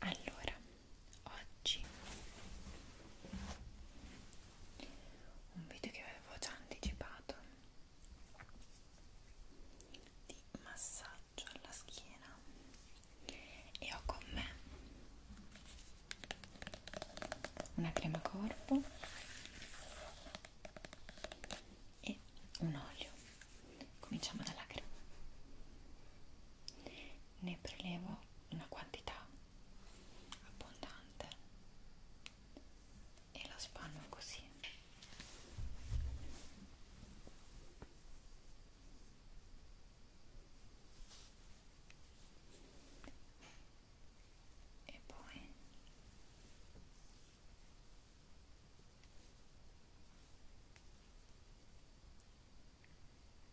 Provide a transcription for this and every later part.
Allora, oggi un video che avevo già anticipato di massaggio alla schiena e ho con me una crema corpo e un olio cominciamo dalla crema ne prelevo una quantità abbondante e la spanno così e poi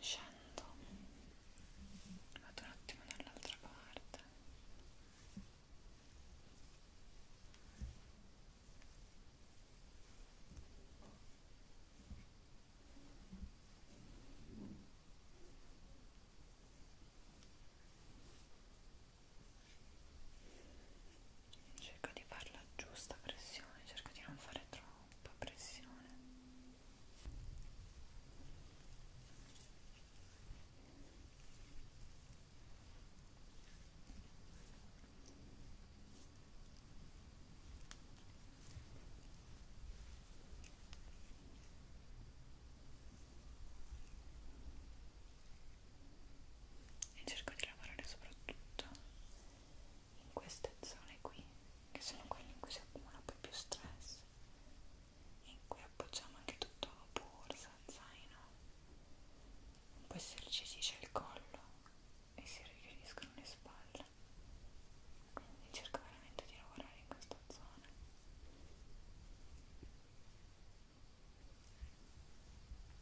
scendo vado un attimo dall'altra parte cerco di fare la giusta pressione cerco di non fare troppa pressione e cerco di lavorare soprattutto in queste zone qui che sono quelle in cui si accumula poi più stress in cui appoggiamo anche tutto borsa, zaino poi si irrigidice il collo e si richiudiscono le spalle quindi cerco veramente di lavorare in questa zona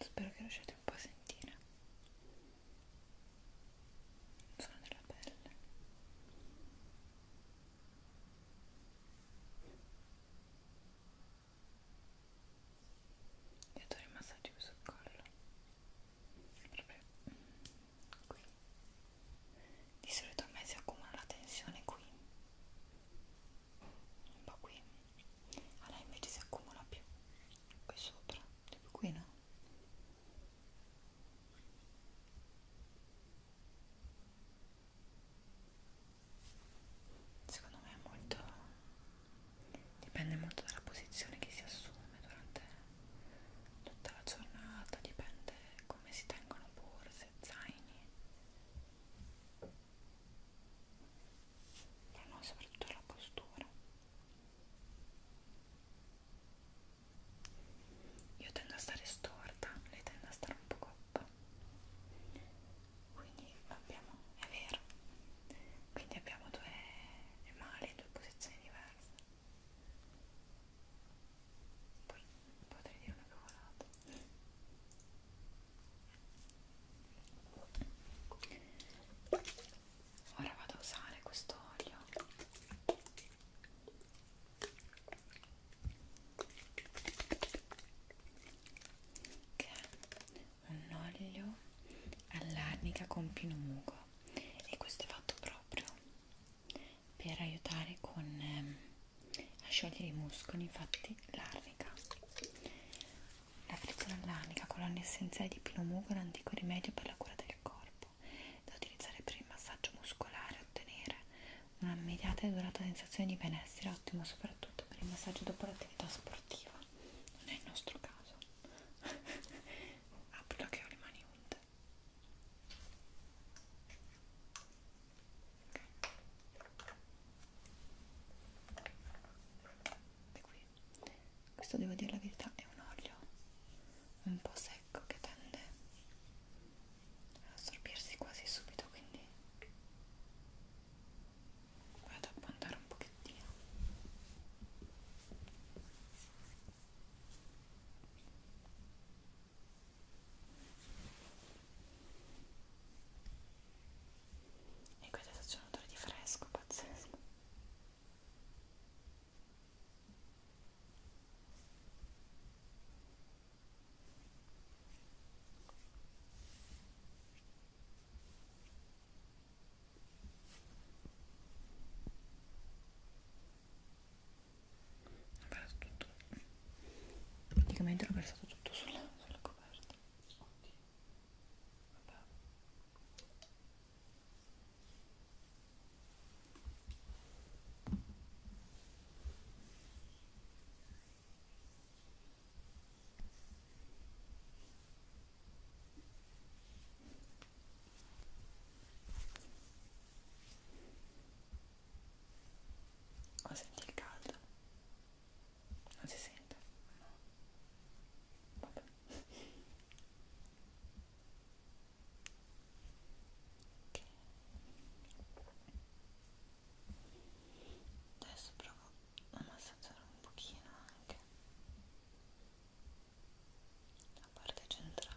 Spero che riusciate un po' a sentire il suono della pelle. Io do i massaggi sul collo proprio qui di solito a me si accumula la tensione qui un po' qui a lei invece si accumula più qui sopra tipo qui no Secondo me è molto dipende molto dalla posizione che si assume durante tutta la giornata, dipende come si tengono borse, zaini. Ma no, soprattutto la postura io tendo a stare storta lei tende a stare un po' coppa quindi abbiamo è vero quindi abbiamo due male due posizioni diverse poi potrei dire una cavolata ora vado a usare questo olio che è un olio all'arnica con pinomugo e questo è fatto proprio per aiutare con, ehm, a sciogliere i muscoli infatti l'arnica la frizzola all'arnica con l'olio essenziale di pinomugo è un antico rimedio per la cura del corpo corpo da utilizzare per il massaggio muscolare e ottenere una immediata e durata sensazione di benessere, ottimo soprattutto per il massaggio dopo l'attività sportiva. Non è il nostro caso. Apro che ho le mani unte. Okay. E qui, questo devo dire la verità, è un olio un po' secco secco che tende ad assorbirsi quasi subito quindi vado a puntare un pochettino e qui adesso c'è un odore di fresco pazzesco ho perso tutto praticamente l'ho versato tutto sulla, sulla coperta Oddio. Vabbè. Oh, senti il caldo? Non si sente? No. Vabbè. Adesso provo a massaggiare un pochino anche la parte centrale.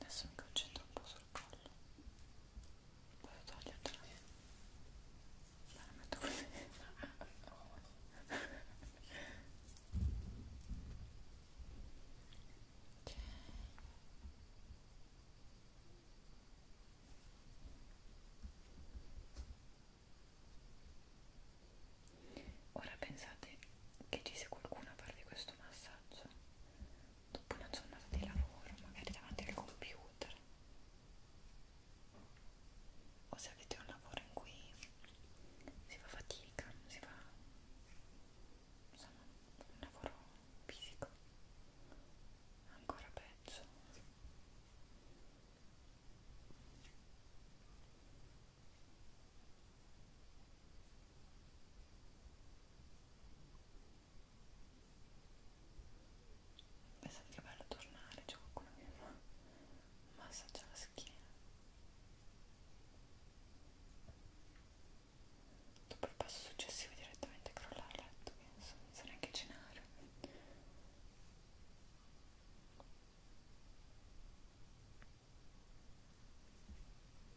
Adesso mi concentro un po' sul collo. Posso togliertela? Ma la metto così. ok. Ora pensate che ci sia qualcuno a farvi questo massaggio dopo una giornata di lavoro, magari davanti al computer o se avete un lavoro in cui si fa fatica, si fa insomma un lavoro fisico ancora peggio Pensate che bello tornare, c'è qualcuno che mi fa massaggia la schiena dopo il passo successivo direttamente crollare a letto, penso, senza neanche cenare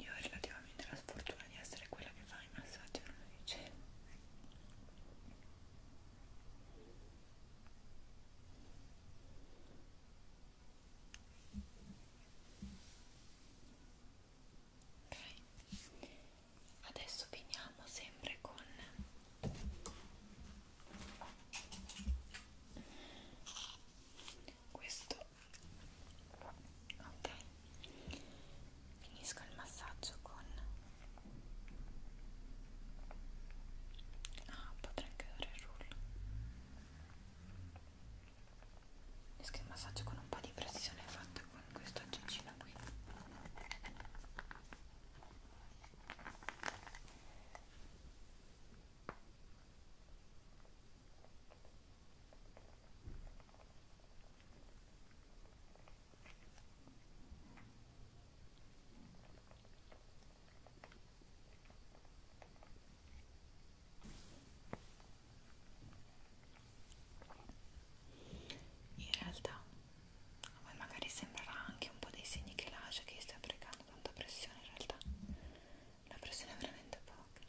Io ho relativamente la sfortuna di essere quella che fa i massaggi alla luce ok adesso finiamo sempre con questo ok finisco il massaggio con Ah, potrei anche dare il rullo. Riesco il massaggio con un po' di pressione fatta con questo aggeggino qui. In realtà a voi magari sembrerà anche un po' dei segni che lascia che stia applicando tanta pressione, in realtà la pressione è veramente poca.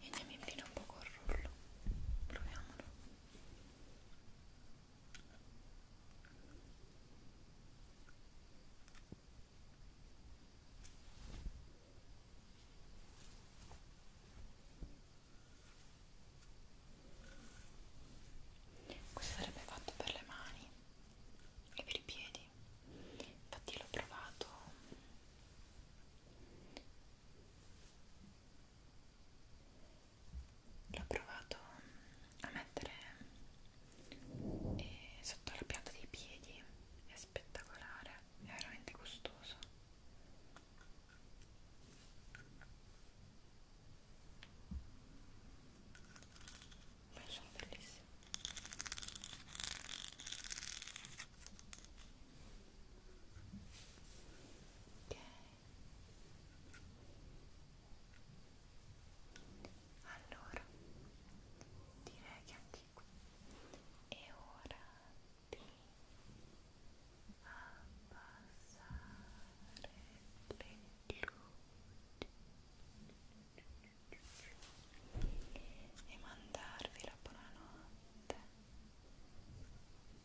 y andiamo a un poco el rullo proviamolo questo sarebbe fatto per le mani e per i piedi infatti l'ho provato l'ho provato a mettere eh, sotto la pianta dei piedi è spettacolare è veramente gustoso ma sono bellissime ok allora direi che anche qui è ora ti abbassare le luci e mandarvi la buonanotte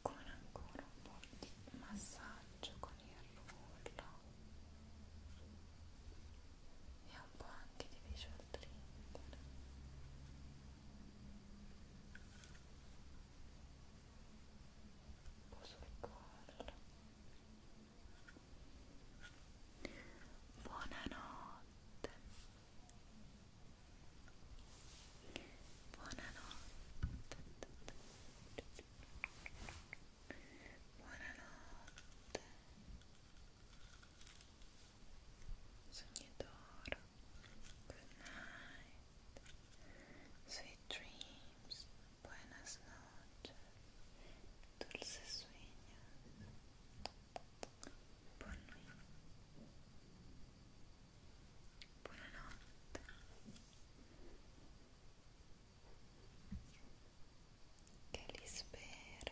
con ancora un po' di massaggio con il rullo e un po' anche di visual trigger un po' sul collo buonanotte buonanotte buonanotte Sogni d'oro. Good night. Sweet dreams. Buenas noches. Dulces sueños. Buon Buonanotte. Che li spera